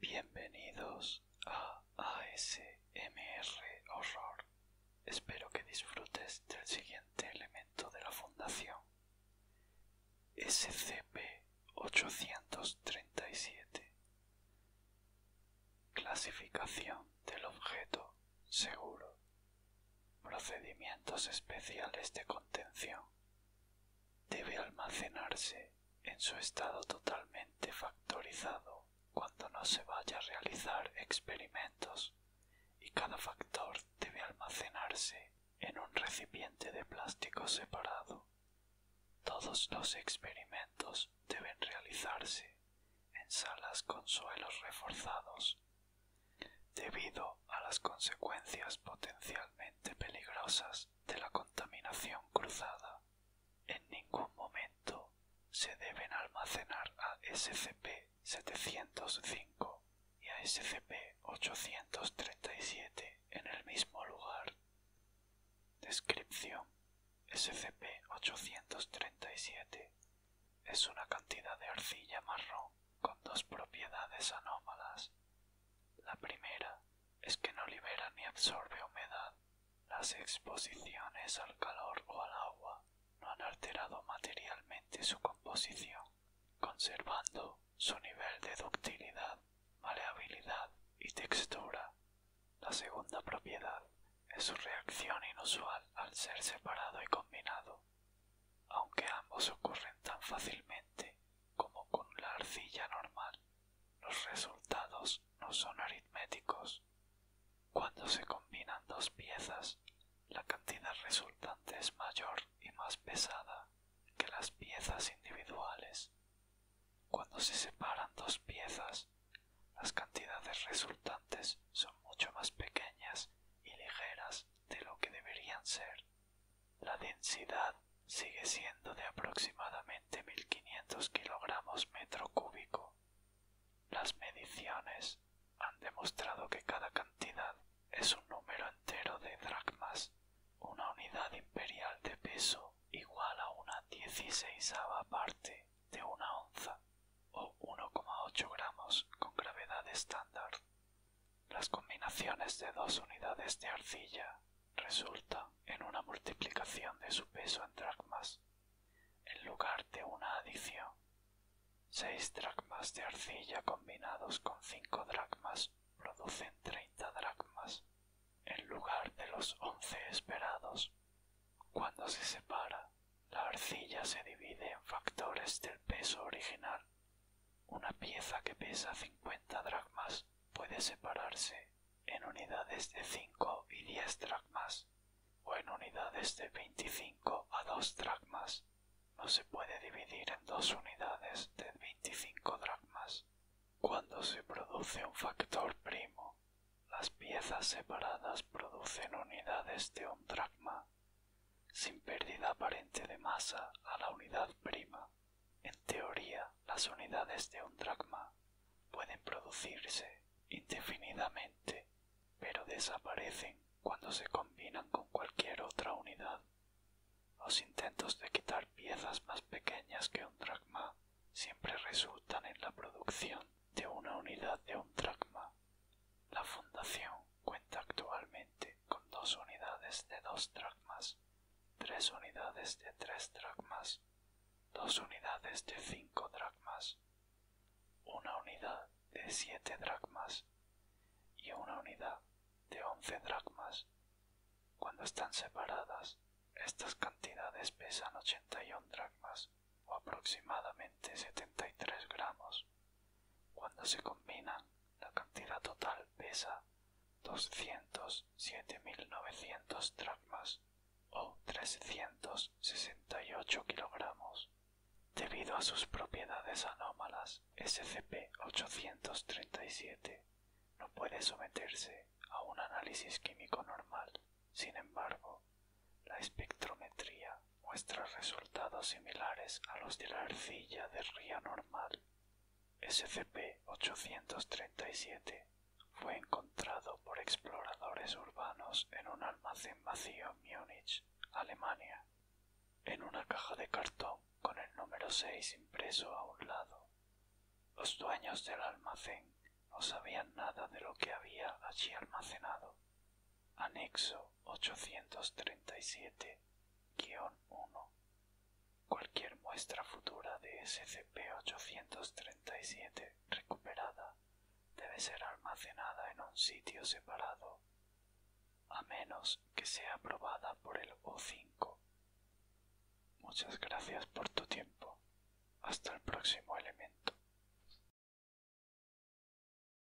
Bienvenidos a ASMR Horror. Espero que disfrutes del siguiente elemento de la fundación. SCP-837 Clasificación del objeto seguro procedimientos especiales de contención. Debe almacenarse en su estado totalmente factorizado cuando no se vaya a realizar experimentos y cada factor debe almacenarse en un recipiente de plástico separado. Todos los experimentos deben realizarse en salas con suelos reforzados debido a las consecuencias potencialmente peligrosas de la contaminación cruzada. En ningún momento se deben almacenar a SCP-705 y a SCP-837 en el mismo lugar. Descripción SCP-837 es una cantidad de arcilla marrón con dos propiedades anómalas. La primera es que no libera ni absorbe humedad. Las exposiciones al calor o al agua no han alterado materialmente su composición, conservando su nivel de ductilidad, maleabilidad y textura. La segunda propiedad es su reacción inusual al ser separado y combinado aunque ambos ocurren tan fácilmente como con la arcilla normal, los resultados no son aritméticos. Cuando se combinan dos piezas, la cantidad resultante es mayor y más pesada que las piezas individuales. Cuando se separan dos piezas, las cantidades resultantes son mucho más pequeñas y ligeras de lo que deberían ser. La densidad sigue siendo de aproximadamente 1500 kilogramos metro cúbico. Las mediciones han demostrado que cada cantidad es un número entero de dracmas, una unidad imperial de peso igual a una dieciséisava parte de una onza o 1,8 gramos con gravedad estándar. Las combinaciones de dos unidades de arcilla resulta en una multiplicación de su peso en dracmas, en lugar de una adición. Seis dracmas de arcilla combinados con cinco dracmas producen 30 dracmas, en lugar de los once esperados. Cuando se separa, la arcilla se divide en factores del peso original. Una pieza que pesa 50 dracmas puede separarse en unidades de 5 y 10 dracmas o en unidades de 25 a 2 dracmas. No se puede dividir en dos unidades de 25 dracmas. Cuando se produce un factor primo, las piezas separadas producen unidades de un dracma sin pérdida aparente de masa a la unidad prima. En teoría, las unidades de un dracma pueden producirse indefinidamente, pero desaparecen cuando se combinan con cualquier otra unidad. Los intentos de quitar piezas más pequeñas que un dracma siempre resultan en la producción de una unidad de un dracma. La fundación cuenta actualmente con dos unidades de dos dracmas, tres unidades de tres dracmas, dos unidades de cinco dracmas, una unidad de siete dracmas y una unidad de once dracmas. Cuando están separadas, estas cantidades pesan ochenta y 81 dracmas o aproximadamente setenta y tres gramos. Cuando se combinan, la cantidad total pesa 207.900 dracmas o 368 kilogramos. Debido a sus propiedades anómalas, SCP-837 no puede someterse a un análisis químico normal. Sin embargo, la espectrometría muestra resultados similares a los de la arcilla de ría normal. SCP-837 fue encontrado por exploradores urbanos en un almacén vacío en Múnich, Alemania, en una caja de cartón con el número seis impreso a un lado. Los dueños del almacén no sabían nada de lo que había allí almacenado, Anexo 837-1. Cualquier muestra futura de SCP-837 recuperada debe ser almacenada en un sitio separado, a menos que sea aprobada por el O5. Muchas gracias por tu tiempo. Hasta el próximo elemento.